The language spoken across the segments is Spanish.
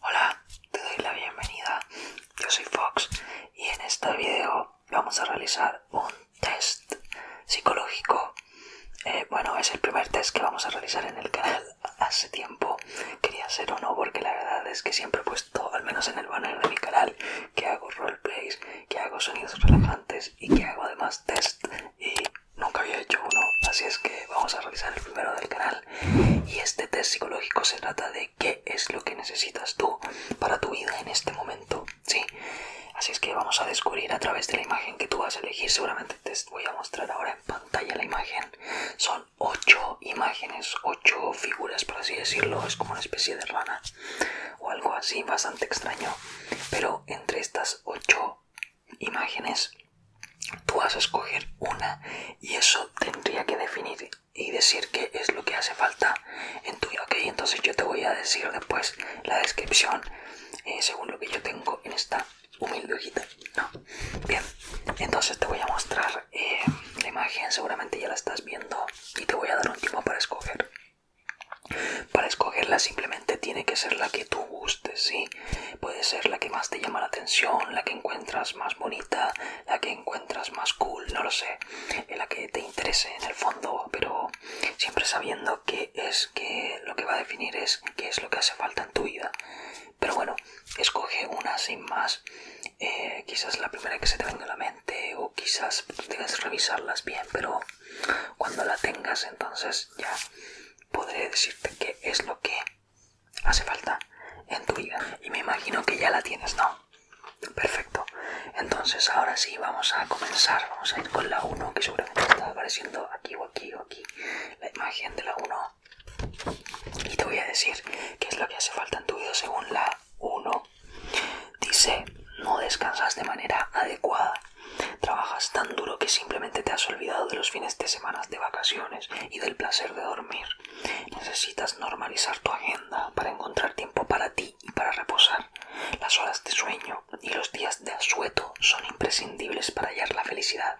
Hola, te doy la bienvenida. Yo soy Fox y en este video vamos a realizar un test psicológico. Eh, bueno, es el primer test que vamos a realizar en el canal. Hace tiempo quería hacer uno porque la verdad es que siempre he puesto, al menos en el banner de mi canal, que hago roleplays, que hago sonidos relajantes y que hago además test. Y Nunca había hecho uno, así es que vamos a realizar el primero del canal. Y este test psicológico se trata de qué es lo que necesitas tú para tu vida en este momento, ¿sí? Así es que vamos a descubrir a través de la imagen que tú vas a elegir. Seguramente te voy a mostrar ahora en pantalla la imagen. Son ocho imágenes, ocho figuras, por así decirlo. Es como una especie de rana o algo así, bastante extraño. Pero entre estas ocho imágenes, tú vas a escoger una y eso tendría que definir y decir qué es lo que hace falta en tu ok entonces yo te voy a decir después la descripción eh, según lo que yo tengo en esta humilde hojita no bien entonces te voy a mostrar eh, la imagen seguramente ya la estás viendo y te voy a dar un tiempo para escoger para escogerla simplemente tiene que ser la que tú gustes sí Puede ser la que más te llama la atención, la que encuentras más bonita, la que encuentras más cool, no lo sé, la que te interese en el fondo, pero siempre sabiendo que es que lo que va a definir es qué es lo que hace falta en tu vida. Pero bueno, escoge una sin más, eh, quizás la primera que se te venga a la mente o quizás debes revisarlas bien, pero cuando la tengas entonces ya podré decirte qué es lo que hace falta en tu vida. Y me imagino que ya la tienes, ¿no? Perfecto. Entonces ahora sí vamos a comenzar. Vamos a ir con la 1 que seguramente está apareciendo aquí o aquí o aquí. La imagen de la 1. Y te voy a decir qué es lo que hace falta en tu vida según la 1. Dice, no descansas de manera adecuada. Trabajas tan duro que simplemente te has olvidado de los fines de semanas, de vacaciones y del placer de dormir. Necesitas normalizar tu agenda para encontrar tiempo para ti y para reposar. Las horas de sueño y los días de asueto son imprescindibles para hallar la felicidad.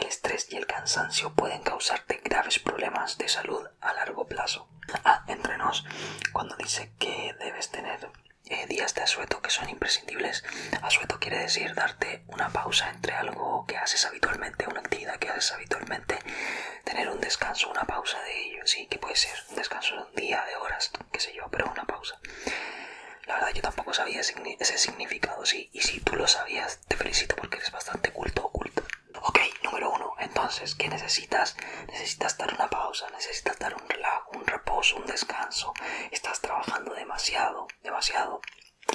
El estrés y el cansancio pueden causarte graves problemas de salud a largo plazo. Ah, entre nos, cuando dice que debes tener eh, días de asueto que son imprescindibles, asueto quiere decir darte una pausa entre algo que haces habitualmente, una actividad que haces habitualmente, tener un descanso, una pausa de ello, sí, que puede ser un descanso de un día, de horas, qué sé yo, pero una pausa. La verdad yo tampoco sabía ese significado, sí, y si tú lo sabías, te felicito porque eres bastante culto o Ok, número uno, entonces, ¿qué necesitas? Necesitas dar una pausa, necesitas dar un relajo, un reposo, un descanso. Estás trabajando demasiado, demasiado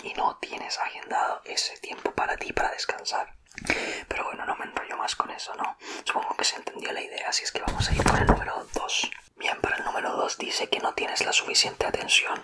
y no tienes agendado ese tiempo para ti, para descansar. Pero bueno, no me enrollo más con eso, ¿no? Supongo que se entendió la idea, así es que vamos a ir por el número 2. Bien, para el número 2 dice que no tienes la suficiente atención.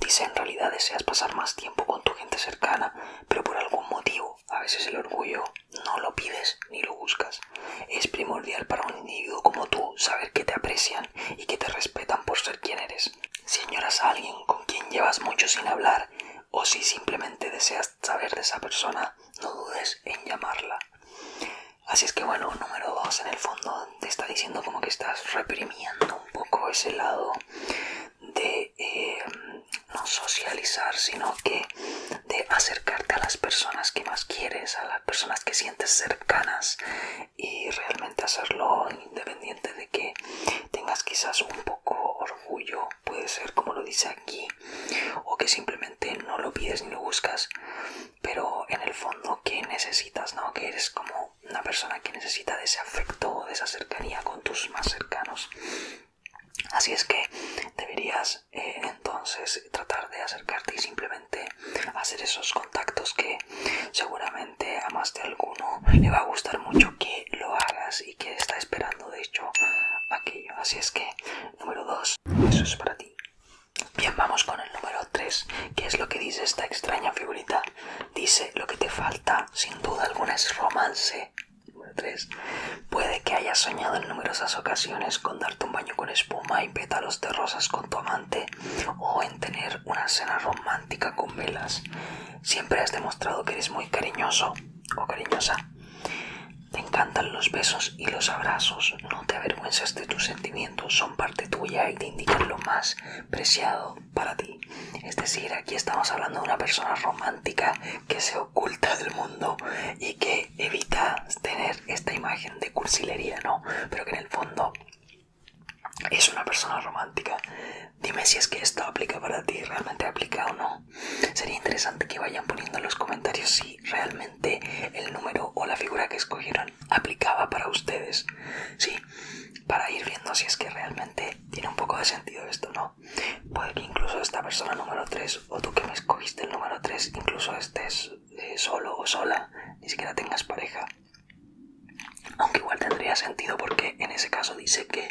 Dice en realidad deseas pasar más tiempo con tu gente cercana, pero por algún motivo, a veces el orgullo no lo pides ni lo buscas. Es primordial para un individuo como tú saber que te aprecian y que te respetan por ser quien eres. Si añoras a alguien con quien llevas mucho sin hablar o si simplemente deseas saber de esa persona, no dudes en llamarla. Así es que bueno, número 2 en el fondo te está diciendo como que estás reprimiendo un poco ese lado de eh, no socializar, sino que de acercarte a las personas que más quieres, a las personas que sientes cercanas y realmente hacerlo independiente de que tengas quizás un poco orgullo, puede ser como lo dice aquí, o que simplemente no lo pides ni lo buscas, pero en el fondo que necesitas, ¿no? Que eres como una persona que necesita de ese afecto, de esa cercanía con tus más cercanos. Así es que deberías eh, entonces tratar de acercarte y simplemente hacer esos contactos que seguramente a más de alguno le va a gustar mucho que lo hagas y que está esperando de hecho aquello. Así es que, número 2, eso es para ti. Bien, vamos con el número 3. que es lo que dice esta extraña figurita? Dice, lo que te falta, sin duda alguna, es romance. Número 3. Puede que hayas soñado en numerosas ocasiones con darte un baño con espuma en pétalos de rosas con tu amante o en tener una cena romántica con velas. Siempre has demostrado que eres muy cariñoso o cariñosa. Te encantan los besos y los abrazos. No te avergüences de tus sentimientos, son parte tuya y te indican lo más preciado para ti. Es decir, aquí estamos hablando de una persona romántica que se oculta del mundo y que evita tener esta imagen de cursilería, ¿no? Pero que en el fondo es una persona romántica. Dime si es que esto aplica para ti, realmente aplica o no. Sería interesante que vayan poniendo en los comentarios si realmente el número o la figura que escogieron aplicaba para ustedes. Sí, para ir viendo si es que realmente tiene un poco de sentido esto, ¿no? Puede que incluso esta persona número 3 o tú que me escogiste el número 3 incluso estés eh, solo o sola, ni siquiera tengas pareja. Aunque igual tendría sentido porque en ese caso dice que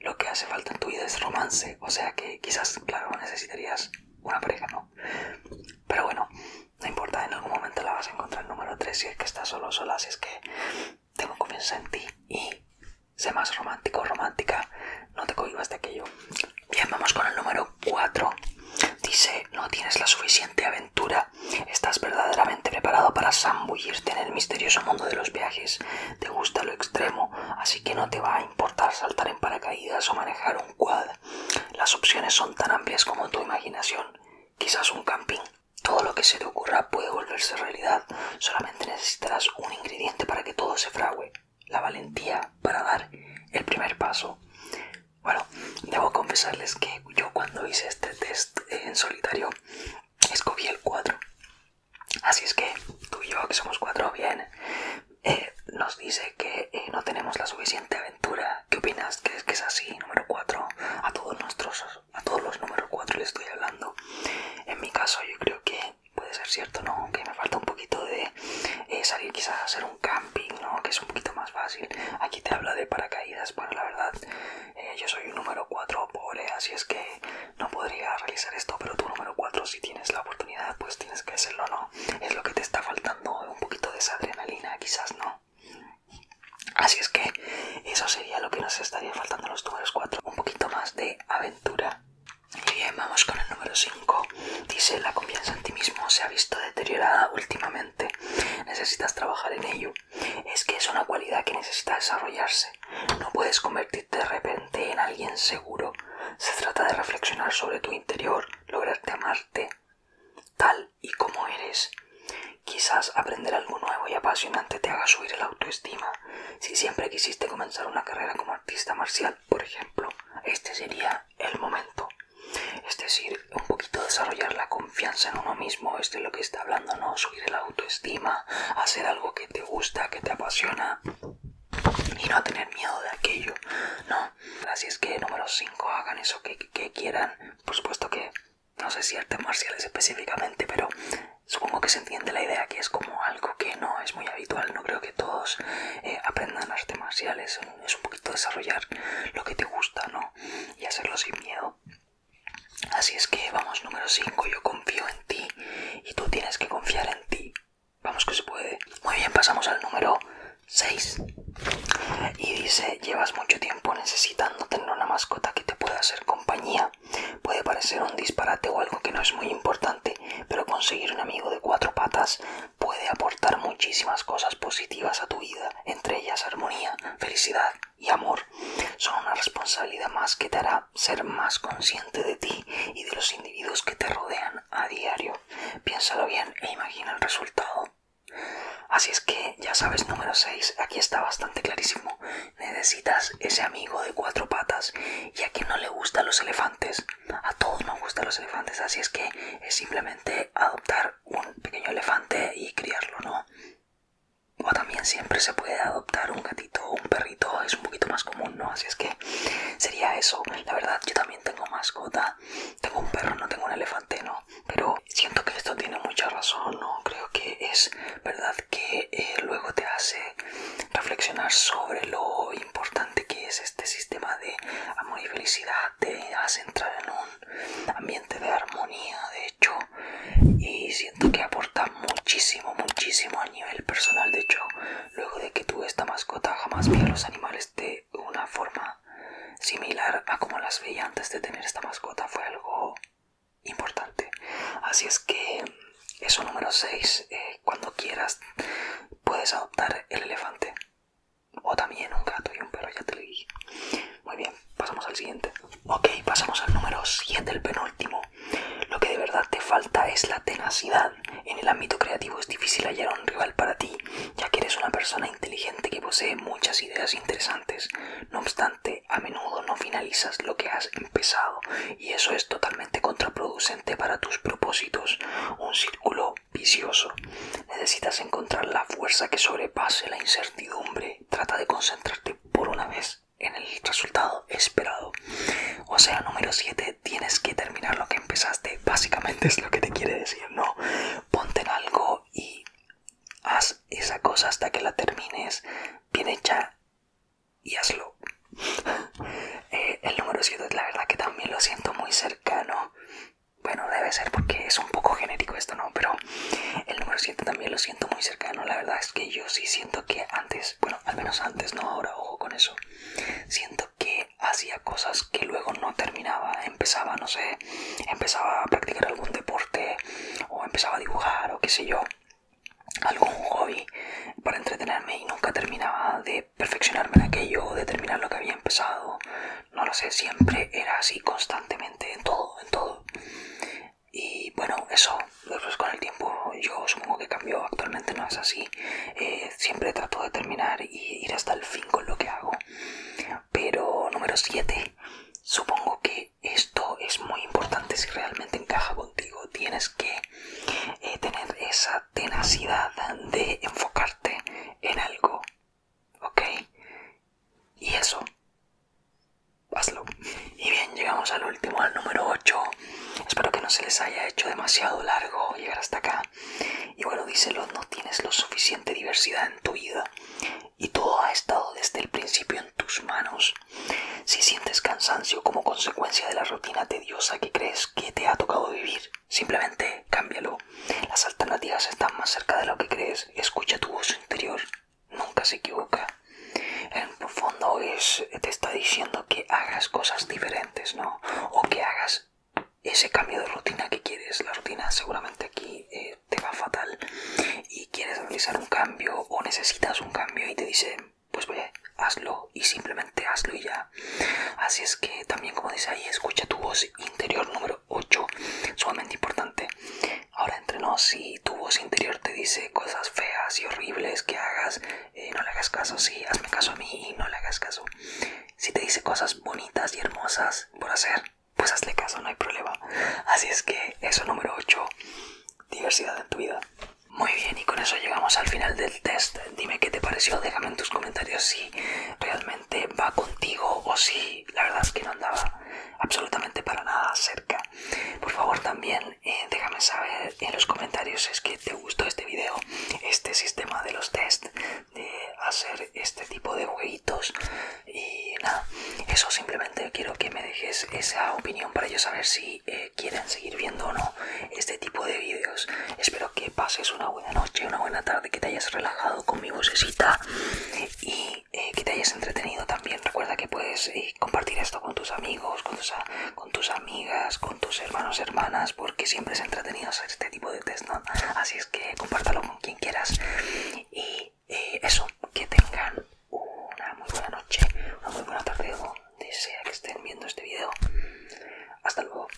lo que hace falta en tu vida es romance. O sea que quizás, claro, necesitarías una pareja, ¿no? Pero bueno, no importa, en algún momento la vas a encontrar. Número 3, si es que estás solo o sola, si es que tengo confianza en ti y sé más romántico o romántica, no te cohibas de aquello. Bien, vamos con el número 4. Dice, no tienes la suficiente aventura. Estás verdaderamente preparado para zambullirte en el misterioso mundo de los viajes. Te gusta lo extremo, así que no te va a importar saltar en paracaídas o manejar un quad. Las opciones son tan amplias como tu imaginación. Quizás un camping. Todo lo que se te ocurra puede volverse realidad. Solamente necesitarás un ingrediente para que todo se fragüe. La valentía para dar el primer paso. Bueno, debo confesarles que yo cuando hice este test en solitario escogí el 4. Así es que tú y yo, que somos 4, bien, eh, nos dice que eh, no tenemos la suficiente aventura. ¿Qué opinas? ¿Crees que es así? Número 4. A todos nuestros, a todos los números 4 le estoy hablando. En mi caso yo creo que puede ser cierto, ¿no? Que me falta un poquito de eh, salir quizás a hacer un camping, ¿no? que es un poquito más fácil. Aquí te habla de paracaídas, bueno, la verdad, eh, yo soy un número 4 pobre, eh, así es que no podría realizar esto, pero tú número 4, si tienes la oportunidad, pues tienes que hacerlo, ¿no? Es lo que te está faltando, un poquito de esa adrenalina, quizás, ¿no? Así es que eso sería lo que nos estaría faltando a los números 4, un poquito más de aventura. Y bien, vamos con el número 5. Dice, la confianza en ti mismo se ha visto deteriorada últimamente. Necesitas trabajar en ello. Es que es una cualidad que necesita desarrollarse. No puedes convertirte de repente en alguien seguro. Se trata de reflexionar sobre tu interior, lograrte amarte tal y como eres. Quizás aprender algo nuevo y apasionante te haga subir el autoestima. Si siempre quisiste comenzar una carrera como artista marcial, por ejemplo, este sería el momento. Es decir, un poquito desarrollar la confianza en uno mismo, es lo que está hablando, ¿no? Subir la autoestima, hacer algo que te gusta, que te apasiona y no tener miedo de aquello, ¿no? Así es que número 5, hagan eso que, quieran. Por supuesto que no sé si artes marciales específicamente, pero supongo que se entiende la idea que es como algo que no es muy habitual. No creo que todos eh, aprendan artes marciales, es un poquito desarrollar lo que te gusta, ¿no? Y hacerlo sin miedo. Así es que vamos, número 5, yo confío en ti y tú tienes que confiar en ti. Vamos que se puede. Muy bien, pasamos al número 6. Y dice, llevas mucho tiempo necesitando tener una mascota que te pueda hacer compañía. Puede parecer un disparate o algo que no es muy importante, pero conseguir un amigo de cuatro patas puede aportar muchísimas cosas positivas a tu vida, entre ellas armonía, felicidad y amor. Son una responsabilidad más que te hará ser más consciente de ti y de los individuos que te rodean a diario. Piénsalo bien e imagina el resultado. Así es que ya sabes, número 6, aquí está bastante clarísimo. Necesitas ese amigo de cuatro patas y a quien no le gustan los elefantes. A todos nos gustan los elefantes, así es que es simplemente adoptar un pequeño elefante y criarlo, ¿no? O también siempre se puede adoptar un gatito o un perrito, es un poquito más común, ¿no? Así es que sería eso. La verdad, yo también tengo mascota. Tengo un perro, no tengo un elefante, ¿no? Pero siento que esto tiene mucha razón, ¿no? Creo que es verdad que eh, luego te hace reflexionar sobre lo importante que es este sistema de amor y felicidad, te hace entrar en un ambiente de armonía, de hecho, y siento que aporta muchísimo, muchísimo a nivel personal, de hecho, luego de que tuve esta mascota jamás vi a los animales de una forma similar a como las veía antes de tener esta mascota, fue algo importante. Así es que eso número 6, eh, cuando quieras puedes adoptar el elefante. O también un gato y un perro, ya te lo dije. Muy bien, pasamos al siguiente. Ok, pasamos al número 7, el penúltimo. Lo que de verdad te falta es la tenacidad. En el ámbito creativo es difícil hallar un rival para ti, ya que eres una persona inteligente que posee muchas ideas interesantes. No obstante, a menudo no finalizas lo que has empezado, y eso es totalmente contraproducente para tus propósitos, un círculo vicioso. Necesitas encontrar la fuerza que sobrepase la incertidumbre. Trata de concentrarte por una vez en el resultado esperado. O sea, número 7, tienes que terminar lo que empezaste. Básicamente es lo que te quiere decir, ¿no? Ponte en algo y haz esa cosa hasta que la termines bien hecha y hazlo. Eh, el número 7 la verdad que también lo siento muy cercano. Bueno, debe ser porque es un poco genérico esto, ¿no? Pero el número 7 también lo siento muy cercano. La verdad es que yo sí siento que antes, bueno, al menos antes, no ahora, ojo con eso. Siento que hacía cosas que luego no terminaba. Empezaba, no sé, empezaba a practicar algún deporte o empezaba a dibujar o qué sé yo algún hobby para entretenerme y nunca terminaba de perfeccionarme en aquello, determinar lo que había empezado, no lo sé, siempre era así constantemente, en todo, en todo. Y bueno, eso, después con el tiempo yo supongo que cambió, actualmente no es así, eh, siempre trato de terminar y ir hasta el fin con lo que hago. Pero número 7, supongo que esto es muy importante si realmente encaja contigo, tienes que eh, tener esa tenacidad de enfocarte en algo, ¿ok? Y eso, hazlo. Y bien, llegamos al último, al número 8. Espero que no se les haya hecho demasiado largo llegar hasta acá. Y bueno, díselo, no tienes lo suficiente diversidad en tu vida. Y todo ha estado desde el principio en tus manos. Si sientes cansancio como consecuencia de la rutina tediosa que crees que te ha tocado vivir, Simplemente cámbialo. Las alternativas están más cerca de lo que crees. Escucha tu voz interior. Nunca se equivoca. En el fondo es, te está diciendo que hagas cosas diferentes, ¿no? O que hagas ese cambio de rutina que quieres. La rutina seguramente aquí eh, te va fatal y quieres realizar un cambio o necesitas un cambio y te dice, pues hazlo y simplemente hazlo y ya. Así es que también como dice ahí, escucha tu voz interior número 8, sumamente importante. Ahora entre nos, si tu voz interior te dice cosas feas y horribles que hagas, eh, no le hagas caso, sí, hazme caso a mí y no le hagas caso. Si te dice cosas bonitas y hermosas por hacer, pues hazle caso, no hay problema. Así es que eso número 8, diversidad en tu vida. Muy bien, y con eso llegamos al final del test. Dime qué te pareció, déjame en tus comentarios si realmente va contigo o si la verdad es que no andaba absolutamente para nada cerca. Por favor también eh, déjame saber en los comentarios si es que te gustó este video, este sistema de los test, de hacer este tipo de jueguitos y nada, eso simplemente quiero que me dejes esa opinión para ellos saber si eh, quieren seguir viendo o no este tipo de vídeos. Espero que pases una buena noche, una buena tarde, que te hayas relajado con mi vocecita y eh, que te hayas entretenido también. Recuerda que puedes eh, compartir esto con tus amigos, con tus, amigas, con tus hermanos, hermanas, porque siempre es entretenido hacer este tipo de test, Así es que compártalo con quien quieras. Y eh, eso, que tengan una muy buena noche, una muy buena tarde Desea que estén viendo este video. Hasta luego.